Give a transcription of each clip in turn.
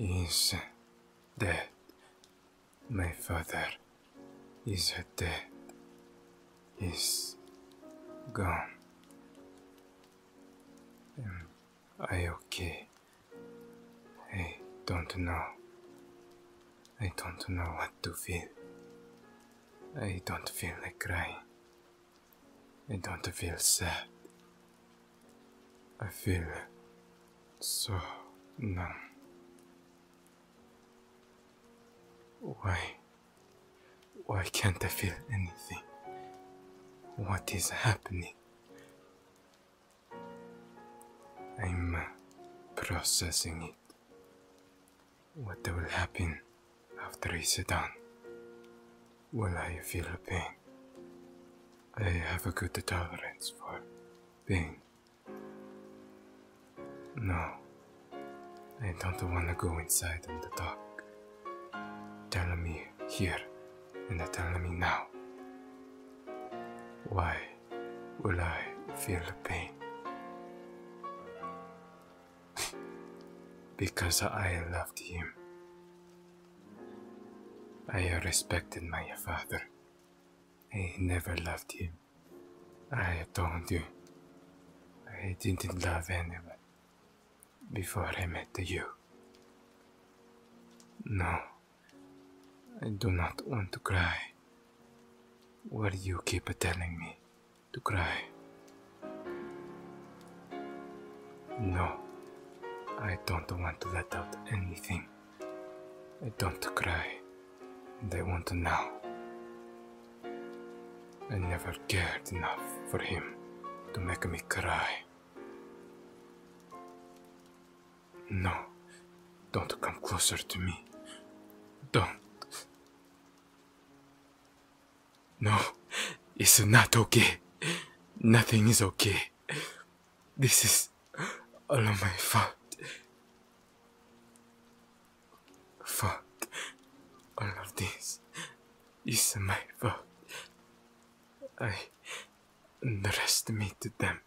Is dead. My father is dead. He's gone. Am I okay? I don't know. I don't know what to feel. I don't feel like crying. I don't feel sad. I feel so numb. Why? Why can't I feel anything? What is happening? I'm processing it. What will happen after I sit down? Will I feel the pain? I have a good tolerance for pain. No, I don't want to go inside in the dark. Tell me here and tell me now. Why? will I feel the pain. because I loved him. I respected my father. I never loved him. I don't you. I didn't love anyone before I met you. No. I do not want to cry. Why do you keep telling me to cry? No, I don't want to let out anything. I don't cry, They I want to now. I never cared enough for him to make me cry. No. Don't come closer to me. Don't. No. It's not okay. Nothing is okay. This is all of my fault. Fault. All of this is my fault. I underestimated them.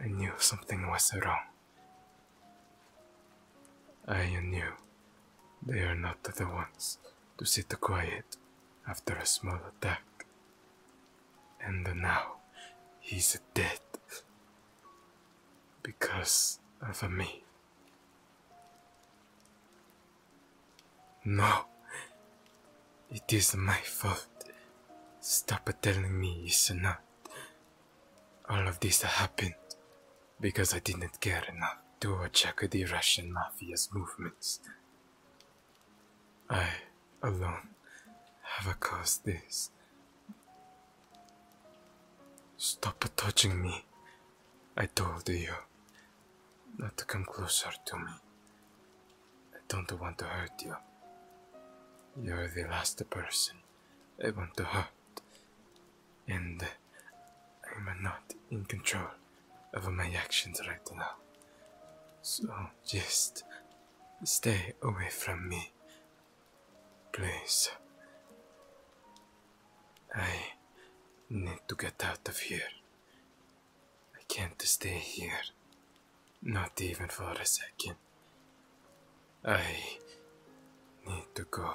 I knew something was wrong. I knew they are not the ones to sit quiet after a small attack. And now he's dead because of me. No, it is my fault. Stop telling me it's not. All of this happened because I didn't care enough to check the Russian mafia's movements. I alone have caused this. Stop touching me. I told you not to come closer to me. I don't want to hurt you. You're the last person I want to hurt. And I'm not in control of my actions right now. So just stay away from me. Please. I need to get out of here. I can't stay here not even for a second. I need to go.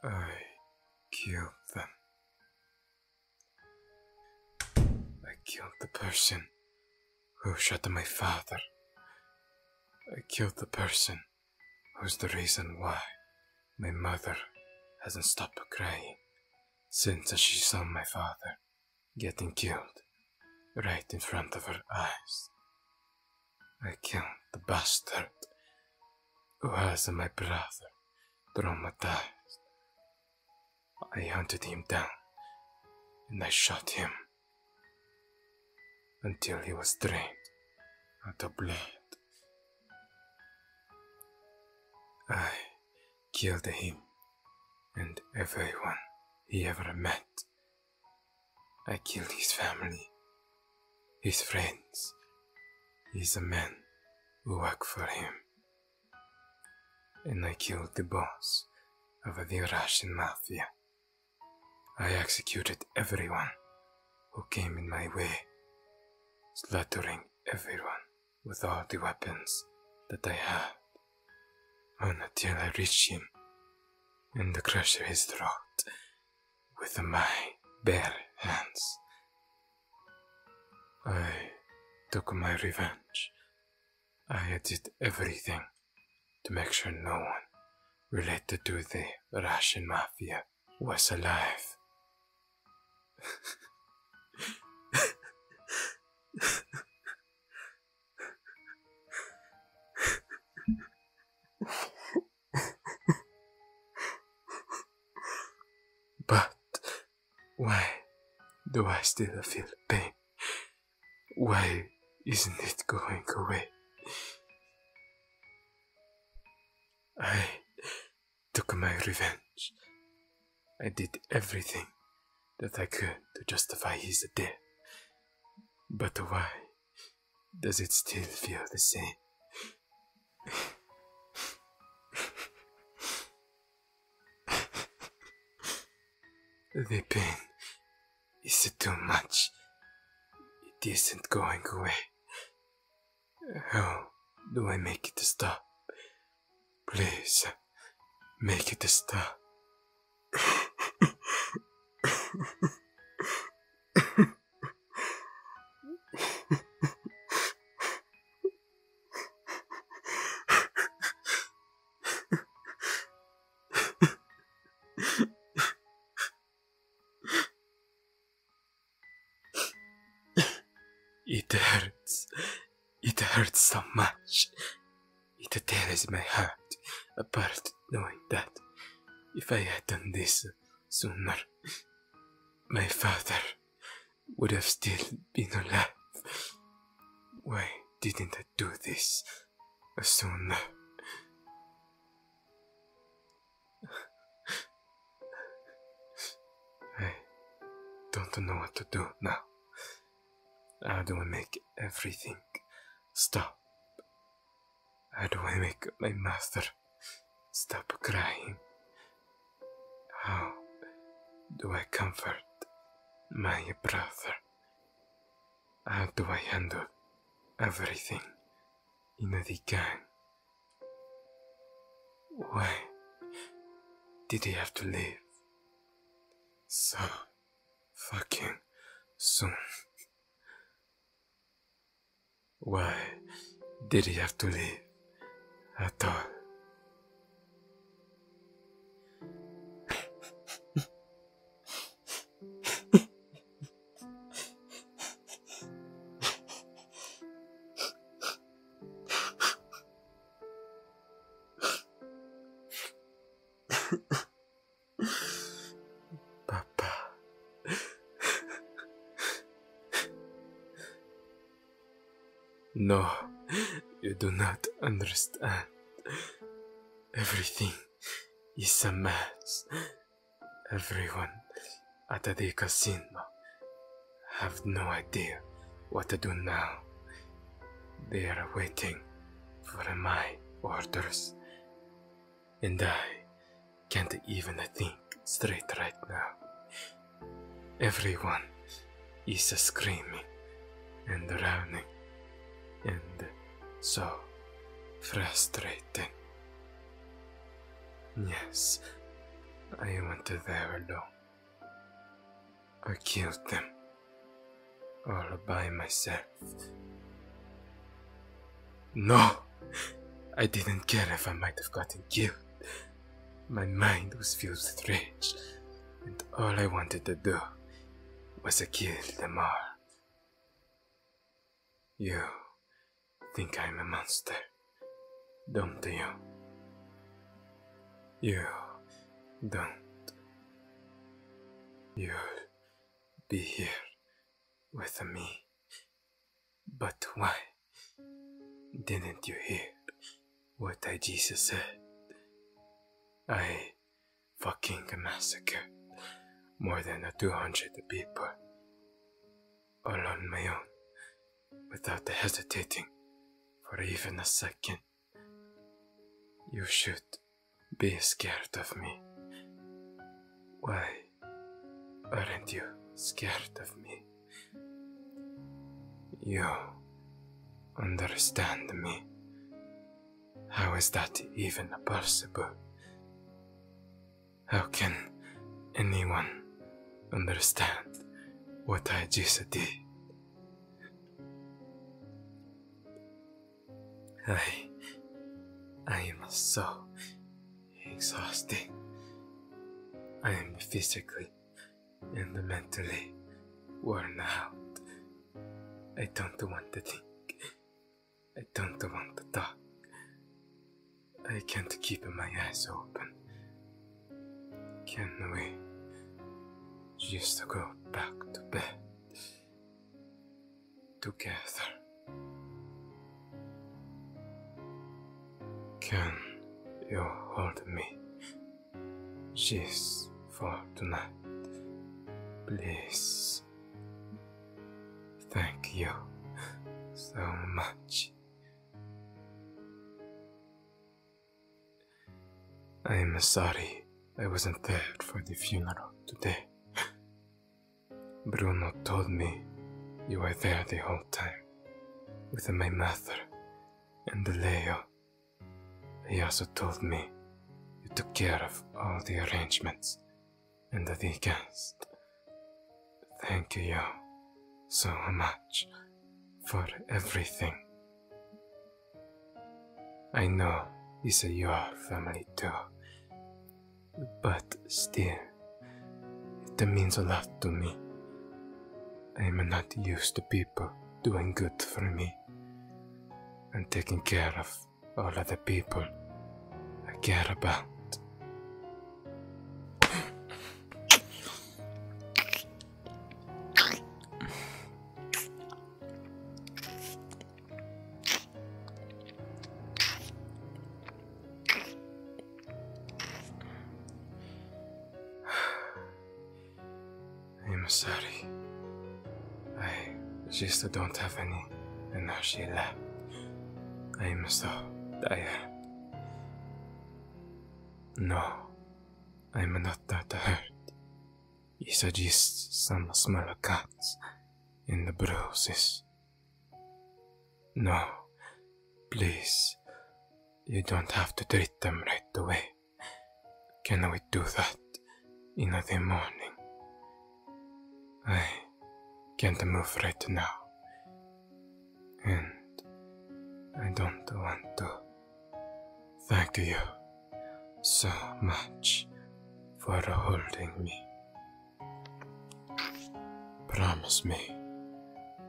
I killed them. I killed the person who shot my father. I killed the person who's the reason why my mother hasn't stopped crying since she saw my father getting killed right in front of her eyes. I killed the bastard who has my brother traumatized. I hunted him down and I shot him until he was drained of the blood I killed him and everyone he ever met. I killed his family, his friends, his men who work for him. And I killed the boss of the Russian mafia. I executed everyone who came in my way, slaughtering everyone with all the weapons that I had until I reached him and crushed his throat with my bare hands. I took my revenge. I did everything to make sure no one related to the Russian mafia was alive. but why do I still feel pain? Why isn't it going away? I took my revenge. I did everything that I could to justify his death. But why does it still feel the same? the pain is too much. It isn't going away. How do I make it stop? Please, make it stop it hurts. It hurts so much. It tears my heart apart knowing that if I had done this sooner, my father would have still been alive. Why didn't I do this sooner? I don't know what to do now. How do I make everything stop? How do I make my master stop crying? How do I comfort my brother? How do I handle everything in the gang? Why did he have to leave so fucking soon? Why did he have to leave at all? Papa. no, you do not understand. Everything is a mess. Everyone Atadeka Sinma. Have no idea what to do now. They are waiting for my orders. And I can't even think straight right now. Everyone is screaming and running, and so frustrating. Yes, I went there alone. I killed them. All by myself. No! I didn't care if I might have gotten killed. My mind was filled with rage, and all I wanted to do was to kill them all. You think I'm a monster, don't you? You don't. you be here with me. But why didn't you hear what I Jesus said? I fucking massacred more than 200 people all on my own without hesitating for even a second. You should be scared of me. Why aren't you scared of me? You understand me. How is that even possible? How can anyone understand what I just did? I, I am so exhausted. I am physically and mentally worn out. I don't want to think. I don't want to talk. I can't keep my eyes open. Can we just go back to bed together? Can you hold me? She's for tonight. Please. Thank you so much. I'm sorry I wasn't there for the funeral today. Bruno told me you were there the whole time, with my mother and Leo. He also told me you took care of all the arrangements and the guests. Thank you so much for everything. I know it's your family too, but still, it means a lot to me. I'm not used to people doing good for me and taking care of all of the people I care about. I'm sorry. I just don't have any. And now she left. I'm so tired. No, I'm not that hurt. He suggests some small cuts and the bruises. No, please, you don't have to treat them right away. Can we do that in the morning? I can't move right now and I don't want to thank you so much for holding me. Promise me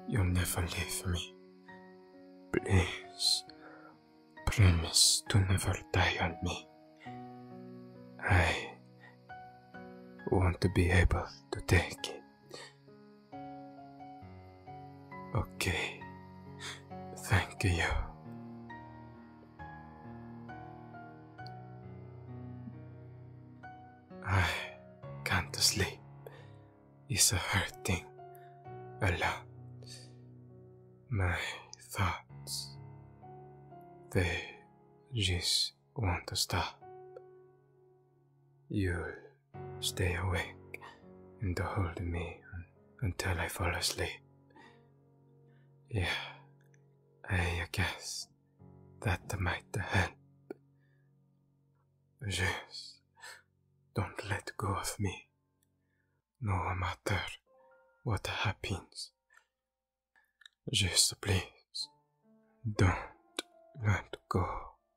you'll never leave me. Please promise to never die on me. I want to be able to take it. Okay. Thank you. I can't sleep. It's hurting a lot. My thoughts, they just want to stop. you stay awake and hold me until I fall asleep. Yeah, I guess that might help. Just don't let go of me, no matter what happens. Just please don't let go